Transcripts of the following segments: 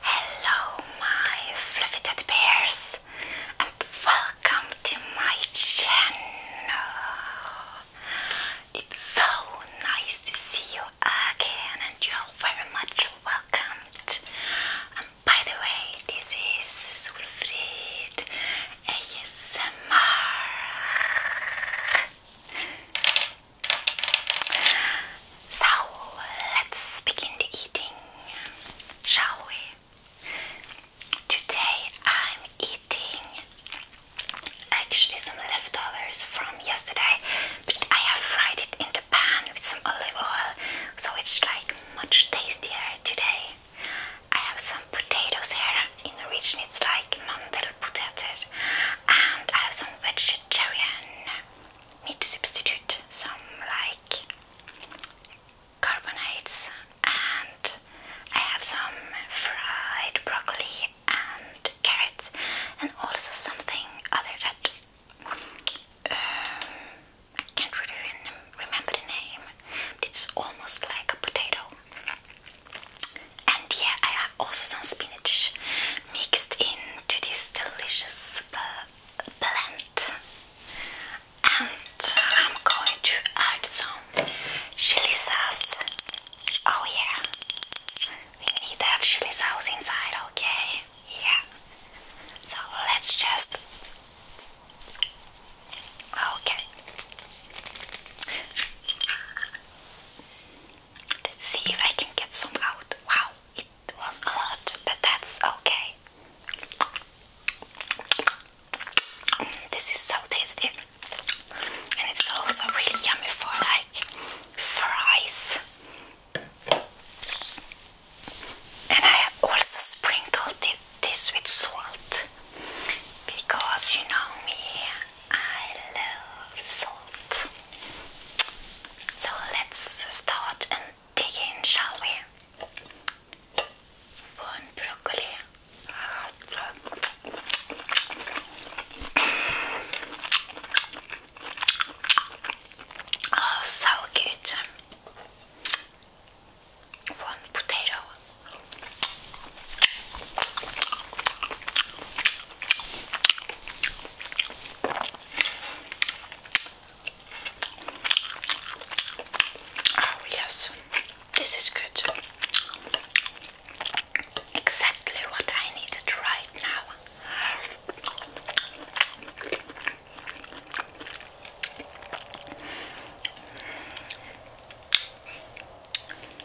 Hello, my fluffy teddy bears, and welcome to my channel. It's so nice to see you again, and you're very much welcomed. And by the way, this is Sulfrid ASMR. So let's begin the eating, shall we? Today I'm eating actually some leftovers from yesterday but I have fried it in the pan with some olive oil so it's like much tastier today. I have some potatoes here in the region, it's like mandel salad potatoes and I have some vegetarian meat substitute, some like carbonates and I have some fried broccoli and carrots and also something other that um, I can't really remember the name it's almost like a potato and yeah, I have also some spinach mixed into this delicious uh, blend. And I'm going to add some chili sauce. Oh yeah, we need that chili sauce inside, okay? Yeah. So let's just. Okay. Let's see if I can get some out. Wow, it was a lot, but that's okay. this is so tasty, and it's also really yummy for like fries. And I also sprinkled this with salt because you know me, I love salt. So let's start and dig in, shall we? One broccoli. Oh, so good. One potato. Oh, yes, this is good. Exactly what I needed right now.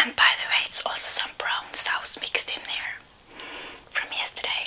And by the way, it's also some brown sauce mixed in there from yesterday.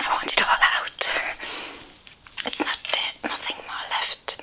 I want it all out. It's not nothing more left.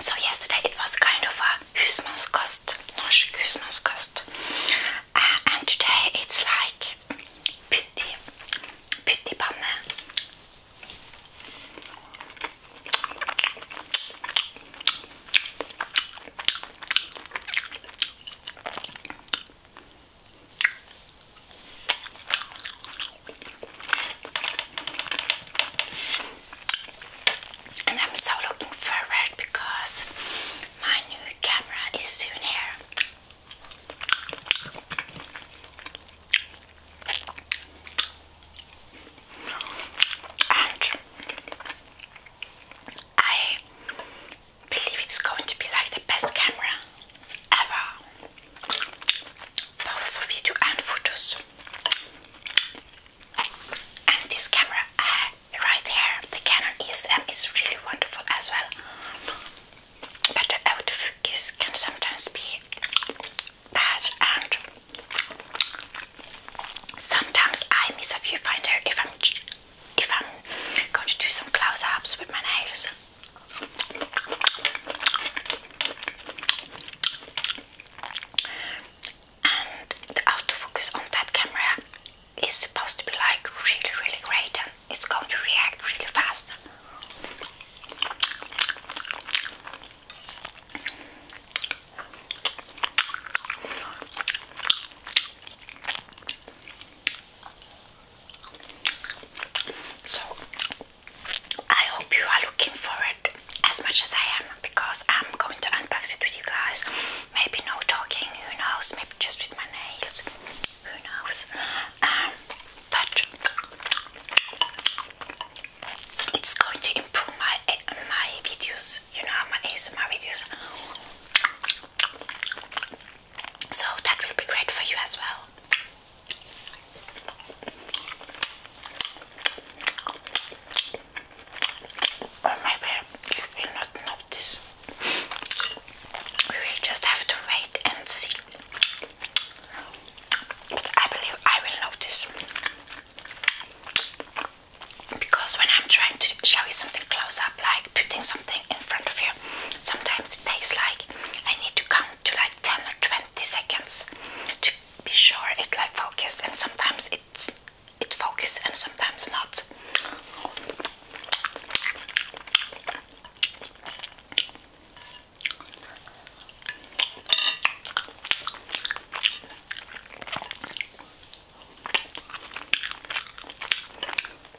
So yesterday it was kind of a husmanskost, norsk Christmas cost, uh, and today it's like pytti, pyttipanne. And I'm so looking forward because my new camera is soon here. And I believe it's going to be like the best camera ever, both for video and photos. And this camera uh, right here, the Canon ESM, is really wonderful as well. But autofocus can sometimes be bad, and sometimes I miss a viewfinder if I'm if I'm going to do some close ups with my nails. And the autofocus on that camera is supposed to be like really, really great and it's going to react really fast. So I hope you are looking forward as much as I am because I'm going to unbox it with you guys. Maybe no talking, who knows? Maybe just with my nails, who knows? Um, but it's going to improve my my videos, you know, how my my videos. So that will be great for you as well. Oh my you will not notice. We will just have to wait and see. But I believe I will notice. Because when I'm trying to show you something close up, like putting in front of you. Sometimes it takes like I need to count to like 10 or 20 seconds to be sure it like focus and sometimes it it focus and sometimes not.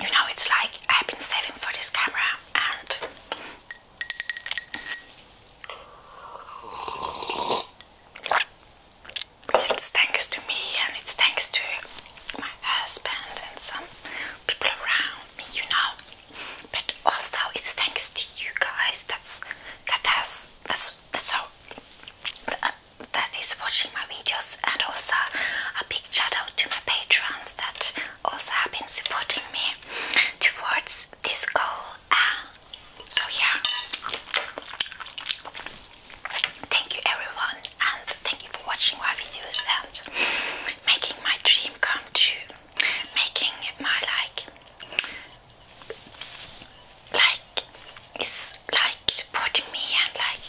you know, it's like I've been saving for this camera and it's thanks to me and it's thanks to my husband and some people around me, you know. But also it's thanks to you guys. That's that has that's that's how that is watching my videos, and also a big shout out to my patrons that also have been supporting me towards this goal. Um, so, yeah, thank you everyone, and thank you for watching my videos and making my dream come true, making my like. Like, it's like supporting me and like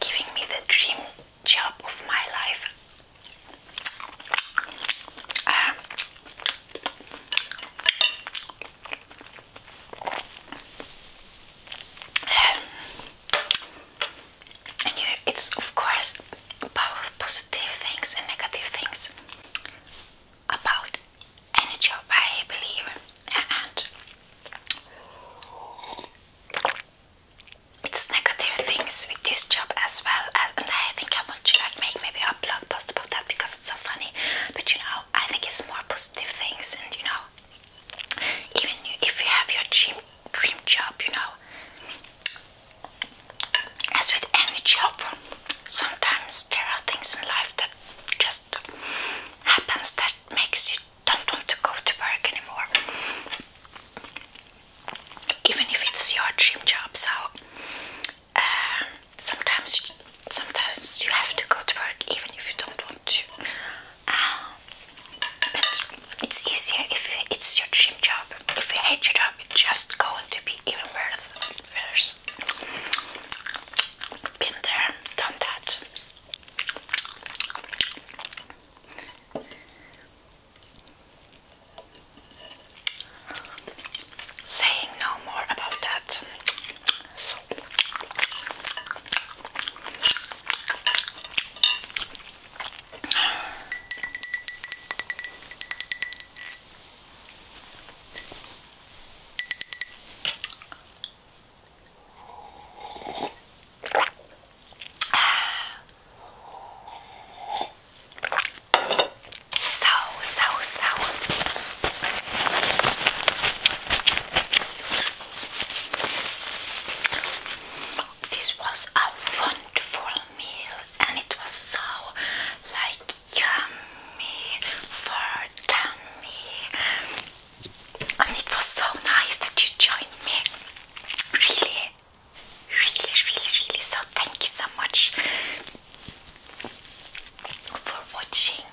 giving me the dream job of my life. Ah. Um, and it's of course about positive things and negative things about any job I believe and uh-uh. it's negative things with this job as well and I think I want to like make maybe a blog post about that because it's so funny but you know I think it's more positive things and you know even if you have your dream, dream job you know as with any job sometimes there are things in life that just happens that makes you don't want to go to work anymore. Even if it's your dream job, so uh, sometimes sometimes you have to go to work even if you don't want to. Uh, but it's easier if it's your dream job. If you hate your job, it's just going to be even worse. Been there, done that. Saying no more about that. So, so, so. This was a wonderful meal and it was so like yummy for tummy I it was so nice that you joined me. Really, really, really, really. So, thank you so much for watching.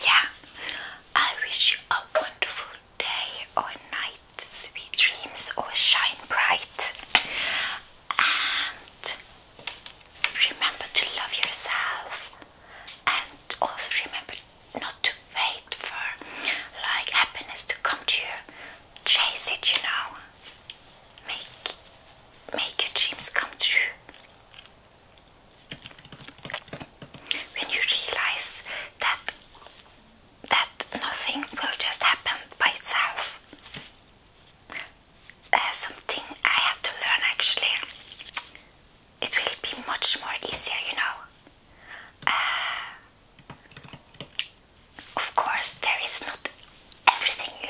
Yeah, I wish you a wonderful day or night, sweet dreams, or shine bright. And remember to love yourself and also remember not to wait for like happiness to come to you. Chase it, you know. Make make your dreams come true. When you realize that that nothing will just happen by itself. There's uh, something I have to learn actually. It will be much more easier, you know. Uh, of course, there is not everything you.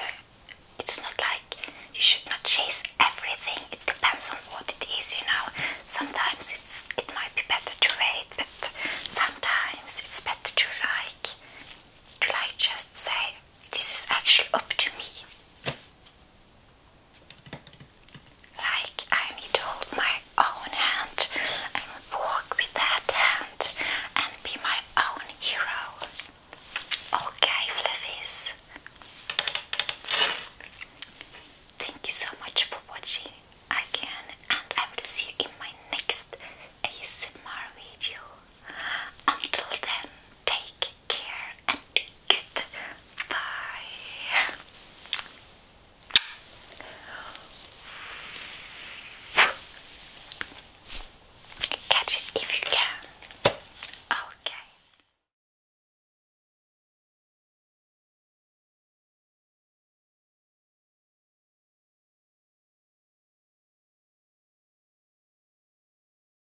It's not like you should not chase everything. It depends on what it is, you know. Sometimes it's it might be better to wait, but sometimes it's better to like to like just say this is actually up to me. Like I need to hold my own hand and walk with that hand and be my own hero. Okay, Fluffies. Thank you so much for watching again, and I will see you in my next ASMR video. Until then, take care and goodbye. Catch it if you can. Okay.